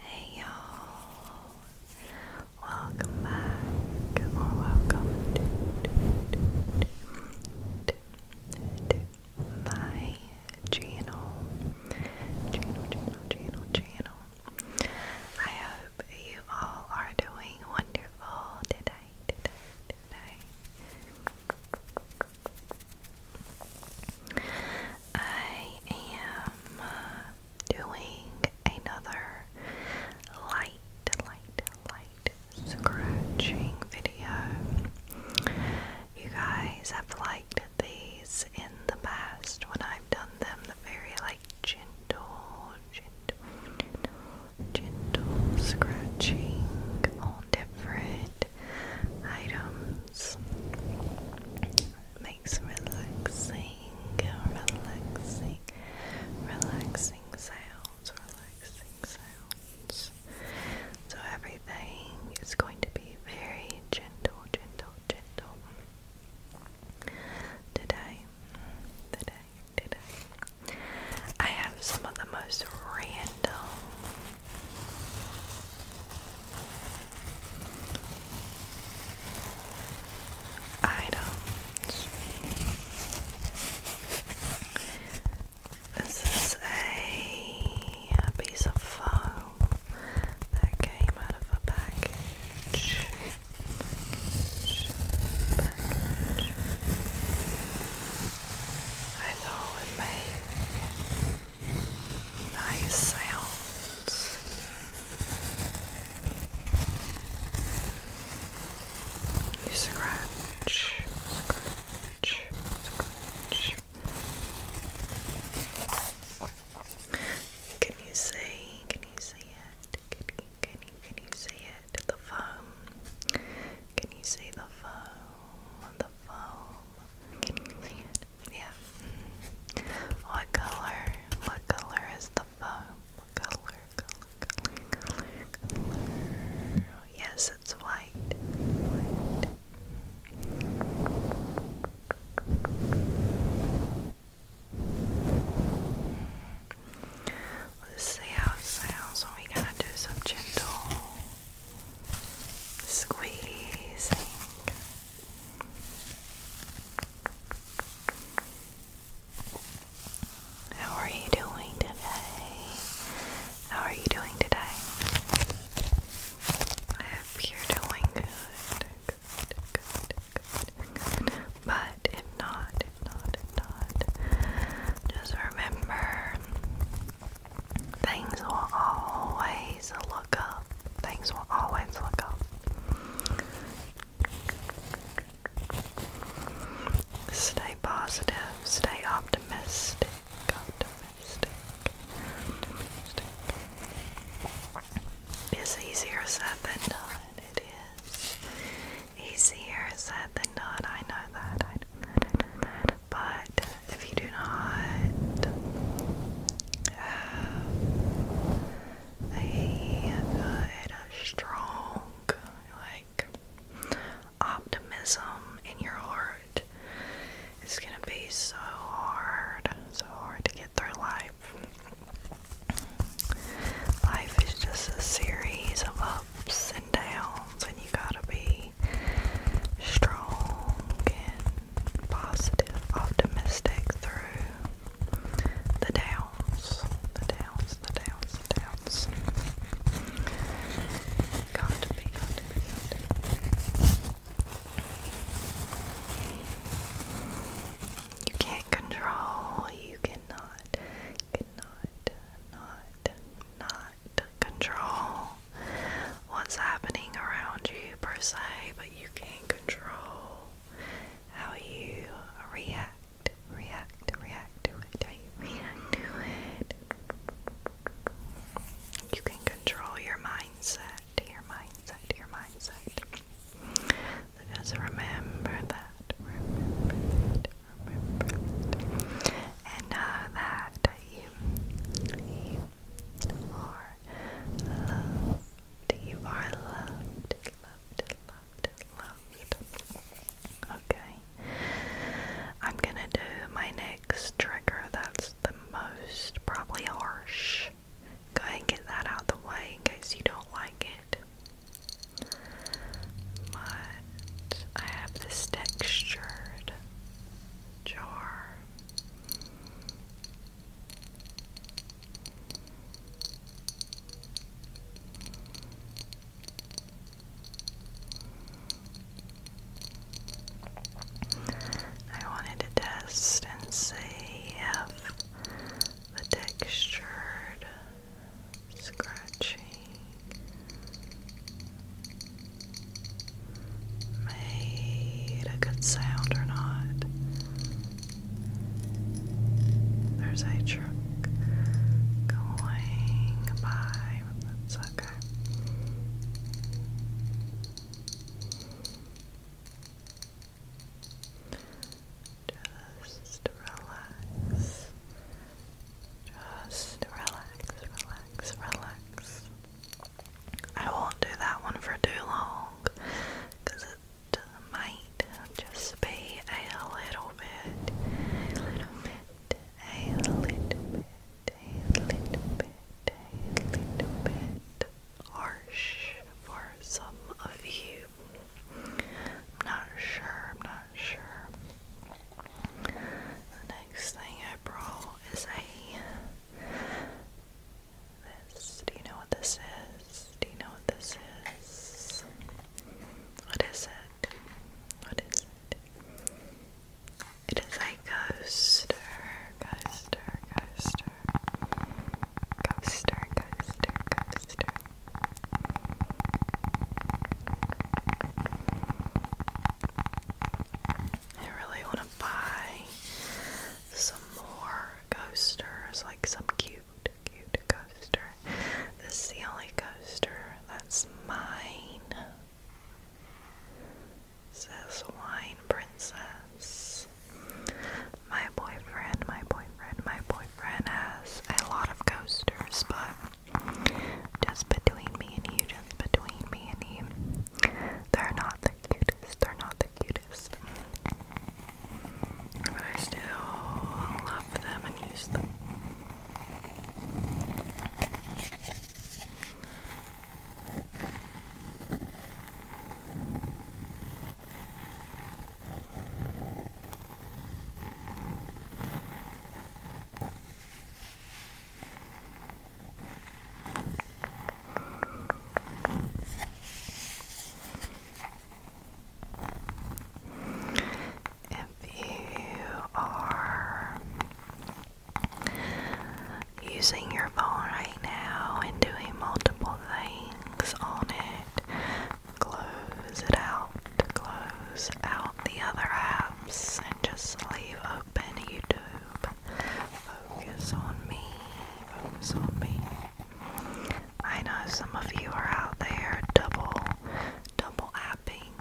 Hey y'all, welcome back or welcome to, my channel. Channel, channel, channel, channel. I hope you all are doing wonderful today. I am uh, doing another light, light, light scratching video. You guys have liked these in the past when I've done them, the very like gentle, gentle, gentle, scratching on different items. Makes relaxing, relaxing, relaxing sounds, relaxing sounds. So everything is going to be very gentle, gentle, gentle. Today, today, today. I have some of the most random items. This is a, piece of foam that came out of a package. I thought it may nice sounds. You scratch, scratch, scratch. Can you see? Can you see it? Can you, can you, see it? The foam. Can you see the foam? The foam. Can you see it? Yeah. What color? What color is the foam? Yes, it's white. White. Let's see how it sounds when we gotta do some gentle squeezing. How are you doing today? How are you doing today? I you're doing good. Good, good, good, But if not, not, not, just remember Things will always look up. Things will always look up. Stay positive, stay optimistic, optimistic, It's easier said than done, it is. Easier said than done, I know that, I know that, I know that, but if you do not have a good, strong, like optimism in your heart, it's gonna be so hard, so hard to get through life. Life is just a series of ups and downs, you gotta be strong and positive, optimistic through the downs, the downs, the downs, the downs. Got to be, You can't control, you cannot, cannot, not, not control what's happening around you per se, but you can control how you react, react, react to it, react to it. You can control your mindset, your mindset, your mindset. So just remember that, remember that, remember that. And know uh, that you, you you are loved, Okay. I'm gonna do my next trigger that's the most probably harsh. Go ahead get that out the way in case you don't like it. But I have this textured jar. I wanted to test and see if the textured scratching made a good sound or not. There's a truck going by, that's okay. Just relax. Just relax, relax, relax. I won't do that one for too long it might just be a little bit, a little bit, a little bit, a little bit, a little bit harsh for some of you. not sure, not sure next thing I brought is a. This. Do you know what this is? Do you know what this is? What is it? What is it? It is a coaster, coaster, coaster, coaster, coaster, coaster. I really want to buy some more coasters, like some cute, cute coaster. This is the only coaster that's mine. It says Wine Princess. My boyfriend, my boyfriend, my boyfriend has a lot of coasters, but just between me and you, just between me and you. They're not the cutest, they're not the cutest. But I still love them and use them. If you are using your phone right now and doing multiple things on it, close it out, close out the other apps, and just leave open YouTube. Focus on me. Focus on me. I know some of you are out there double double apping.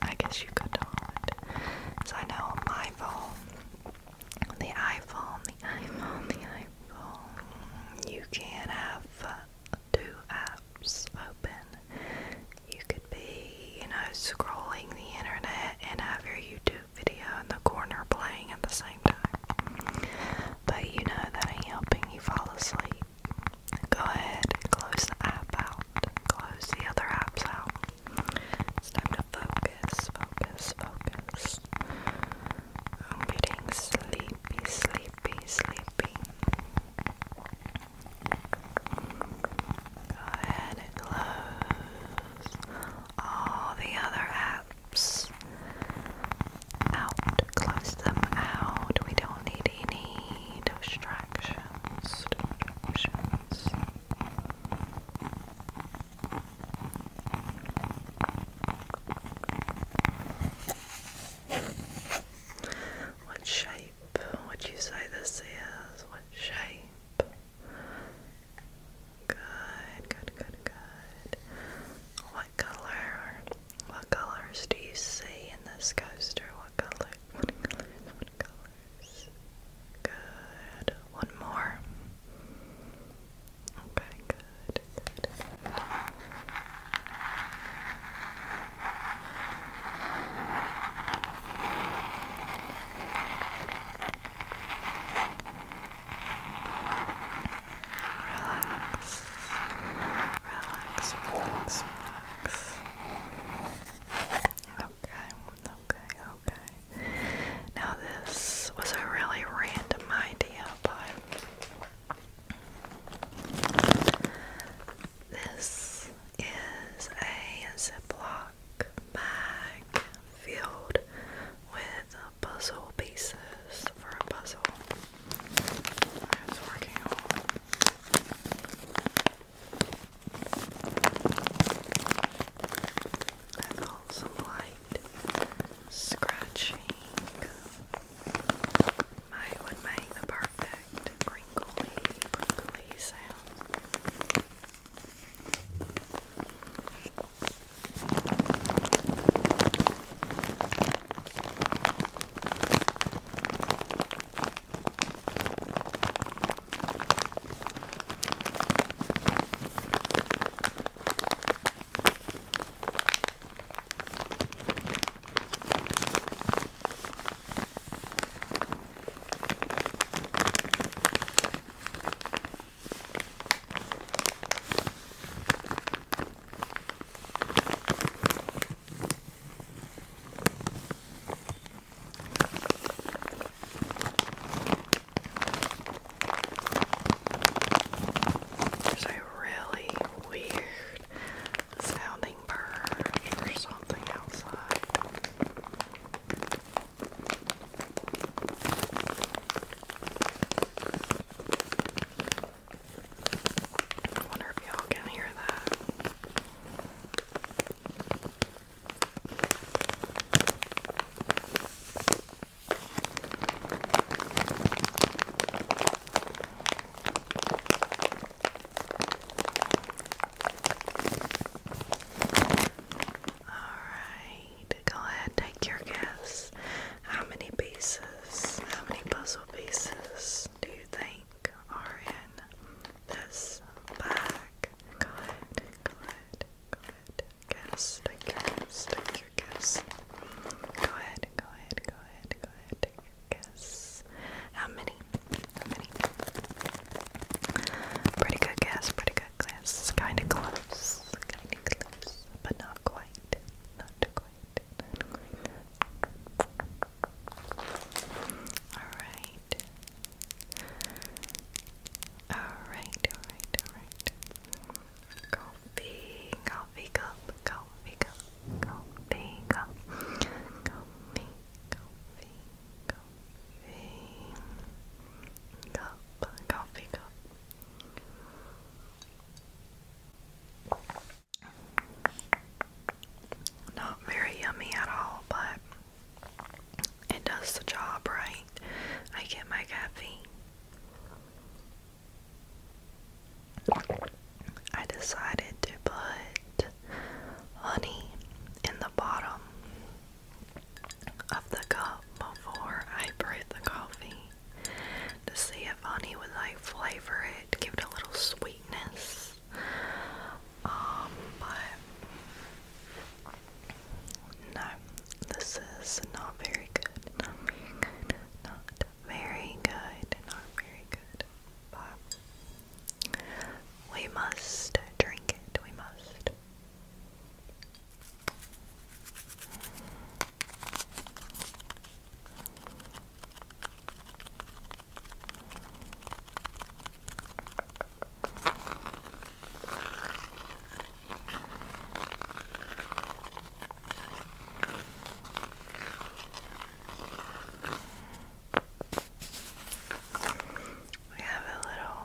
I guess you could call it. So I know on my phone, the iPhone, the iPhone, the iPhone, you can not have uh, two apps you could be, you know, scrolling the internet and have your YouTube video in the corner playing at the same time. But you know that ain't helping you fall asleep. Go ahead and close the app out. Close the other apps out. It's time to focus, focus, focus. I'm getting sleepy, sleepy, sleepy. Go ahead and close all the other apps out. Close them out. We don't need any distractions. What shape what would you say this is? What shape? Good, good, good, good. What color? What colors do you see in this coaster? What color? What colors? Good. One more. Okay, good. good. Relax. Relax, relax, relax. Okay, okay, okay. Now, this was a really random idea, but this is a Ziploc bag filled with puzzle pieces for a puzzle I was working on. some light scratching. Might would make the perfect crinkly, crinkly sound. There's a really weird sounding bird or something outside. I wonder if y'all can hear that. Alright, go ahead, take your guess. How many pieces, how many puzzle pieces do you think are in this bag? Go ahead, go ahead, go ahead. Guess, guess, take your guess. Go ahead, go ahead, go ahead, go ahead, guess. How many? How many? Pretty good guess, pretty good guess. Kinda close. Kinda close. But not quite. Not quite. Not quite. Alright. Alright, alright, alright. Coffee, coffee cup, coffee cup, coffee cup, coffee coffee, coffee, cup, coffee cup. Not very yummy at all, but it does the job right. I get my caffeine. I decided to put honey in the bottom of the cup before I brew the coffee to see if honey would like flavor it, give it a little sweetness. Um, but no, this is Not very good. Not very good. Not very good. But we must drink it, we must. We have a little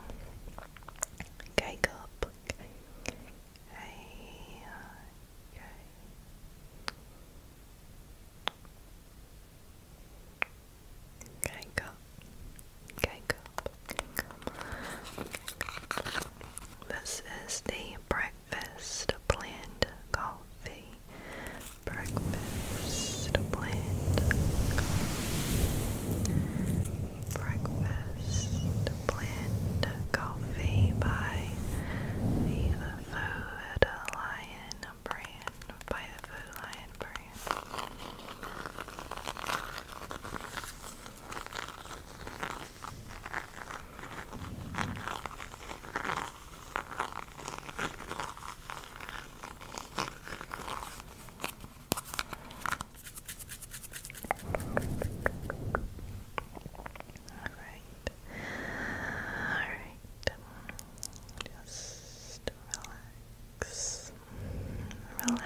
cake up. Cake, cake, cake. Cake up. Cake This is the breakfast blend coffee breakfast plate breakfast blend coffee by the Food Lion brand by the Food Lion brand Alright. Alright. Just relax. Relax. Relax.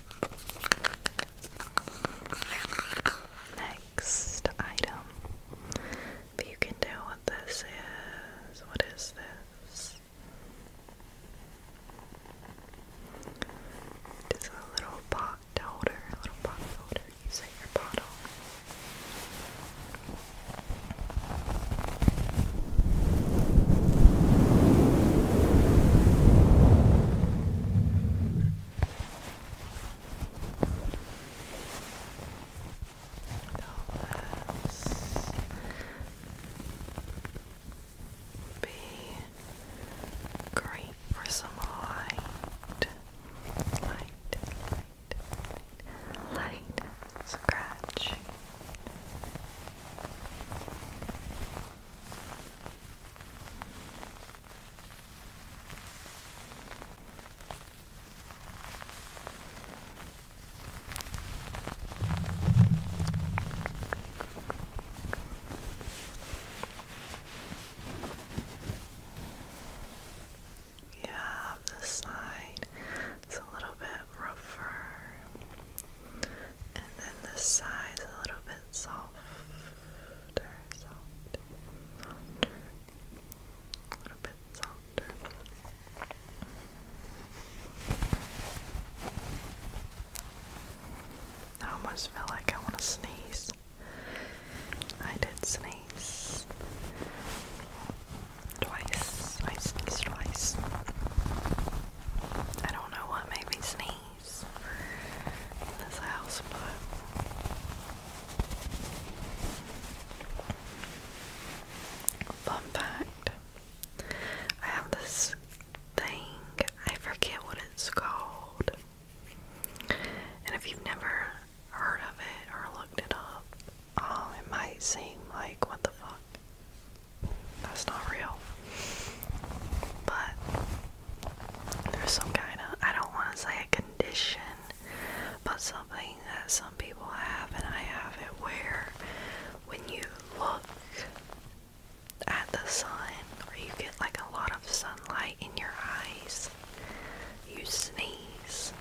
Next item. But you can tell what this is. What is this? It's a little pot holder, a little pot holder. You set your bottle be great for some light, light, light, light scratching. Yeah, this side it's a little bit rougher, and then the sides a little bit softer, a little bit softer. I almost feel like I want to sneeze. I did sneeze twice. I sneezed twice. I don't know what made me sneeze in this house, but fun fact I have this thing, I forget what it's called. And if you've never heard of it or looked it up, um, it might seem like what the fuck. That's not real. But there's some kind of, I don't want to say a condition, but something that some people have, and I have it where when you look at the sun, or you get like a lot of sunlight in your eyes, you sneeze.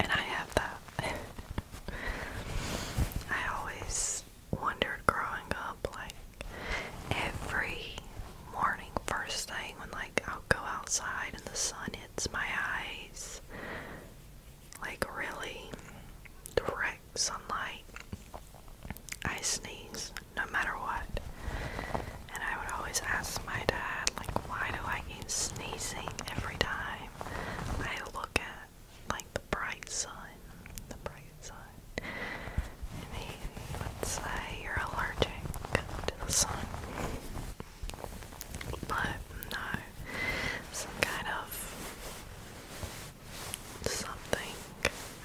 And I have that. I always wondered growing up, like every morning, first thing when like I'll go outside and the sun hits my eyes, like really direct sunlight, I sneeze no matter what. And I would always ask my dad, like, why do I keep sneezing every time I look at like the bright side, the bright side. Maybe let's say you're allergic to the sun, but no, some kind of something.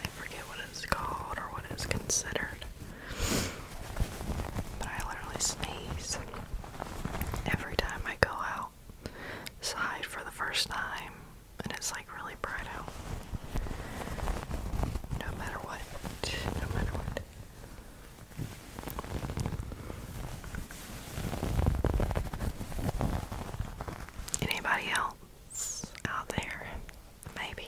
I forget what it's called or what it's considered. But I literally sneeze every time I go out. Side for the first time, and it's like really bright out. No matter what, no matter what. Anybody else out there? Maybe.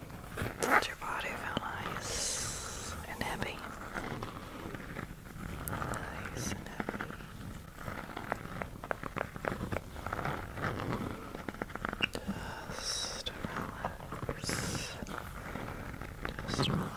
your body feel nice and heavy? Nice and heavy. Just relax. Just relax.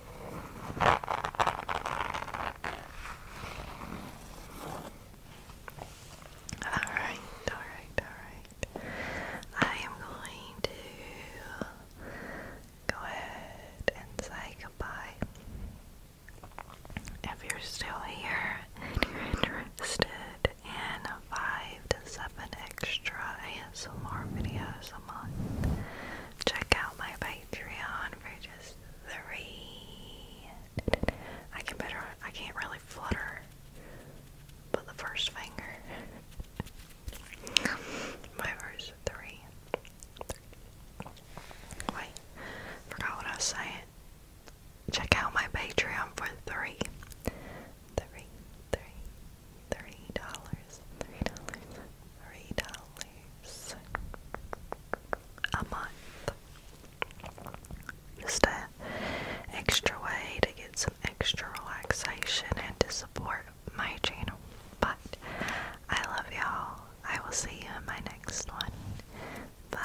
Alright, alright, alright. I am going to go ahead and say goodbye. If you're still here and interested in five to seven extra ASMR videos a month, check out my Patreon for just three. I can better. I can't really flutter, but the first finger. My first three. Wait, forgot what I was saying. Check out my Patreon for three, three, three, three dollars, three dollars, three dollars a month. Just an extra way to get some extra relaxation and to support my channel. But I love y'all. I will see you in my next one. Bye.